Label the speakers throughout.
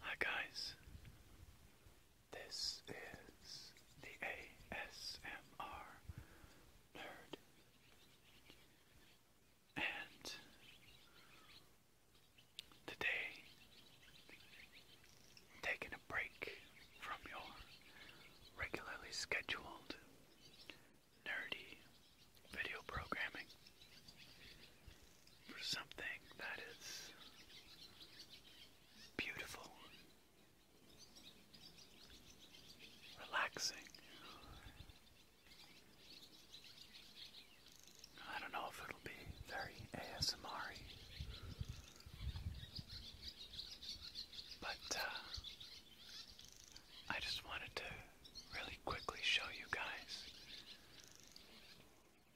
Speaker 1: Hi guys, this is the ASMR Nerd, and today I'm taking a break from your regularly scheduled nerdy video programming for something that is beautiful, relaxing. I don't know if it'll be very ASMR but uh, I just wanted to really quickly show you guys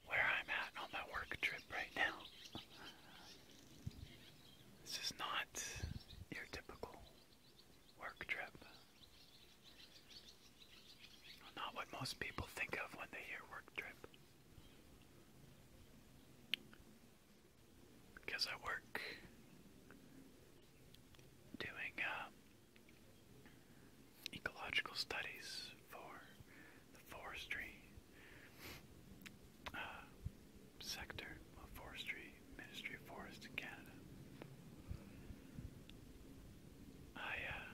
Speaker 1: where I'm at on my work trip right now. This is not your typical work trip. Not what most people think of when they hear work trip because I work doing uh, ecological studies for the forestry uh, sector of forestry, Ministry of Forest in Canada. I uh,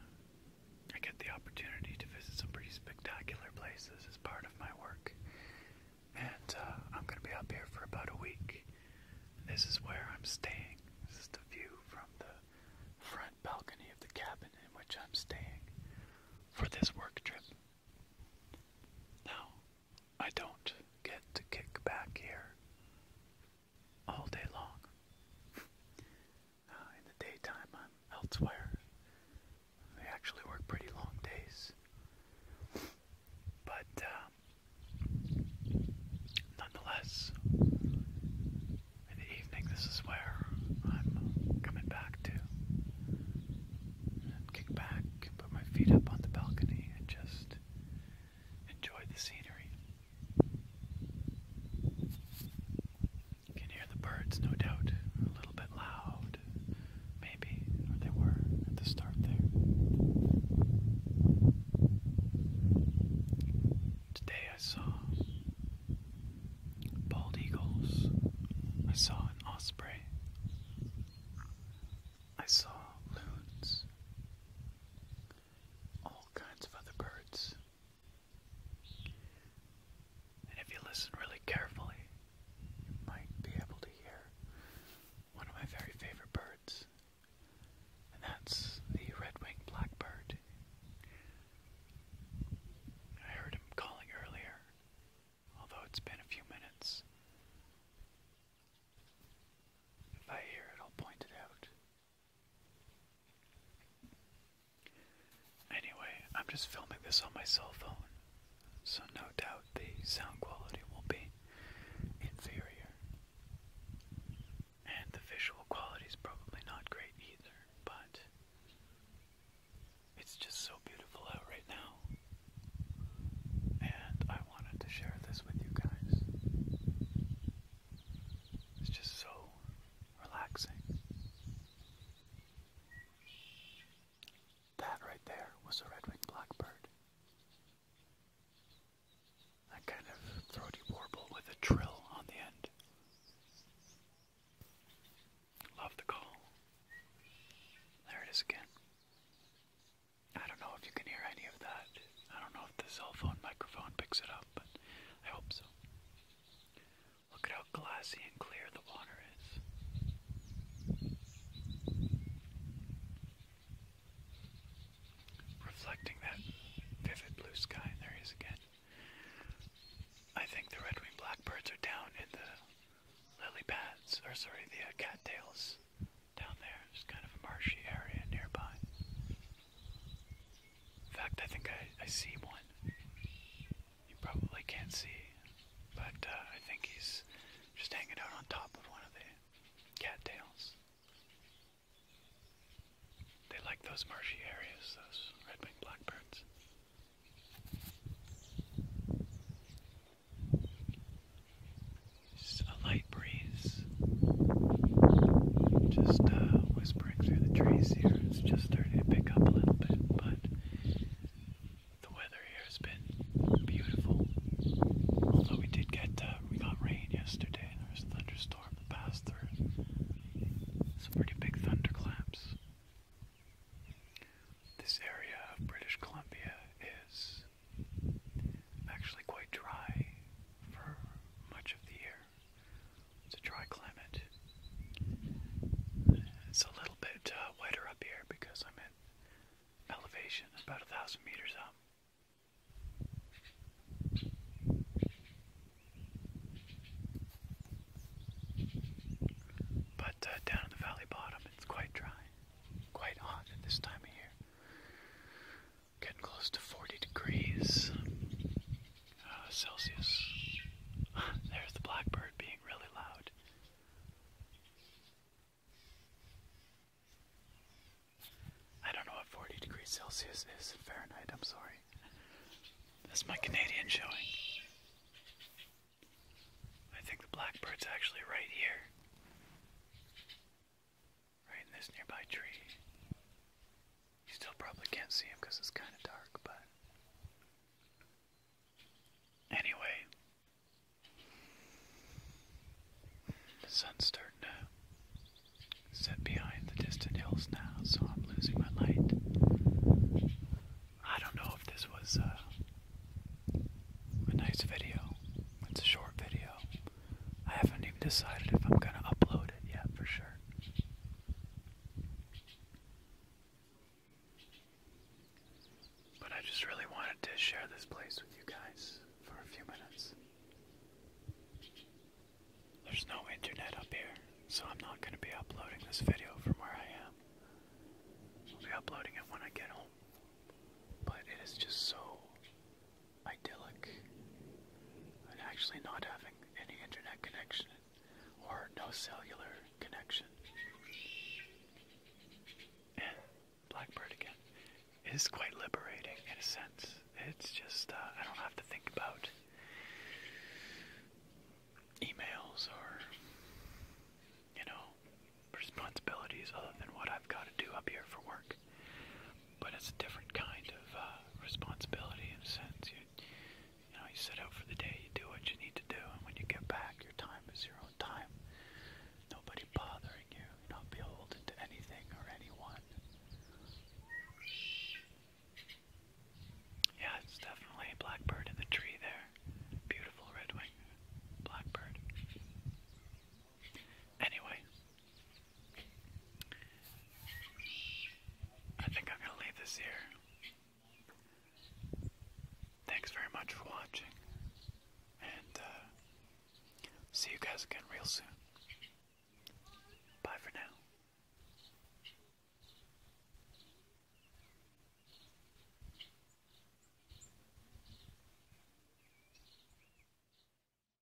Speaker 1: I get the opportunity to visit some pretty spectacular places as part of my work and uh, I'm gonna be up here for about a week. This is where I'm staying. This is the view from the front balcony of the cabin in which I'm staying for this work trip. Now, I don't get to kick back here all day long. Uh, in the daytime, I'm elsewhere. They actually work pretty long days. But uh, nonetheless, in the evening, this is where I'm coming back to. And kick back, put my feet up on the balcony, and just enjoy the scenery. You can hear the birds, no doubt, a little bit loud maybe, they were at the start there. Today I saw bald eagles, I saw an osprey, I saw loons, all kinds of other birds. And if you listen really carefully, you might be able to hear one of my very favorite birds, and that's the red-winged blackbird. I heard him calling earlier, although it's been a few minutes. If I hear it, I'll point it out. Anyway, I'm just filming this on my cell phone so no doubt the sound quality will be inferior. And the visual quality is probably not great either, but it's just so beautiful out right now. And I wanted to share this with you guys. It's just so relaxing. That right there was a red-winged blackbird. That kind of throaty warble with a trill on the end. Love the call. There it is again. I don't know if you can hear any of that. I don't know if the cell phone microphone picks it up, but I hope so. Look at how glassy and clear the water is. Reflecting that vivid blue sky, and there he is again. I think the red-winged blackbirds are down in the lily pads, or sorry, the uh, cattails down there. There's kind of a marshy area nearby. In fact, I think I see one. You probably can't see, but uh, I think he's just hanging out on top of one of the cattails. They like those marshy areas, those red-winged blackbirds. Just a light breeze, just uh, whispering through the trees here. It's just starting to pick up a little bit, but the weather here has been beautiful. Although we did get uh, we got rain yesterday, there was a thunderstorm that passed through. Some pretty big thunderclaps. This area of British Columbia is actually quite dry for much of the year. It's a dry climate. It's a little bit uh, wetter up here because I'm at elevation about a thousand meters up. But uh, down in the valley bottom, it's quite dry, quite hot at this time of year. Getting close to 40 degrees uh, Celsius. There's the blackbird being really loud. I don't know what 40 degrees Celsius is in Fahrenheit, I'm sorry. That's my Canadian showing. I think the blackbird's actually right here. Right in this nearby tree. You still probably can't see him because it's kind of dark, but. Anyway, the sun's starting to set behind the distant hills now, so I'm losing my light. I don't know if this was uh, a nice video. It's a short video. I haven't even decided if I'm going to upload it yet for sure. But I just really wanted to share this place with you guys for a few minutes. There's no internet up here, so I'm not going to be uploading this video from where I am. I'll be uploading it when I get home. But it is just so idyllic. And actually not having any internet connection or no cellular connection. And Blackbird again is quite liberating in a sense. It's just, uh, I don't have to think about emails or, you know, responsibilities other than what I've got to do up here for work but it's a different kind of uh, responsibility in a sense. You, you know, you set out for the day, you do what you need to do, and when you get back, your time is your own time. Nobody bothering you. You're not beholden to anything or anyone. Yeah, it's definitely a blackbird in the tree there. Beautiful red wing blackbird. Anyway, I think I'm going to leave this here. Thanks very much for watching, and uh, see you guys again real soon. Bye for now.